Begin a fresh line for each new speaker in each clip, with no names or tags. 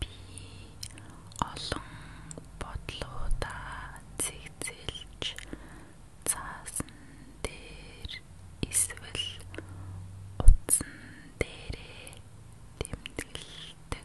би олон бодлоодаа цэгцэлж цаасан дээр эсвэл утсан дээрээ тэмдэглэдэг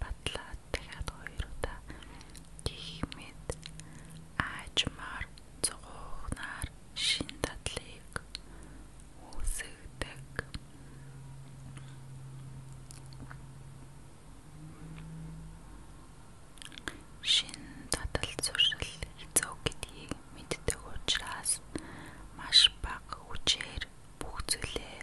батлаад дахиад хоёр удаа гихмэд аажмаар цогнаар шин дадлыг үсгдэг. Шин дадал зуршил хязгаар гэдгийг мэддэг учраас маш бага хүчээр бүх зүйлээ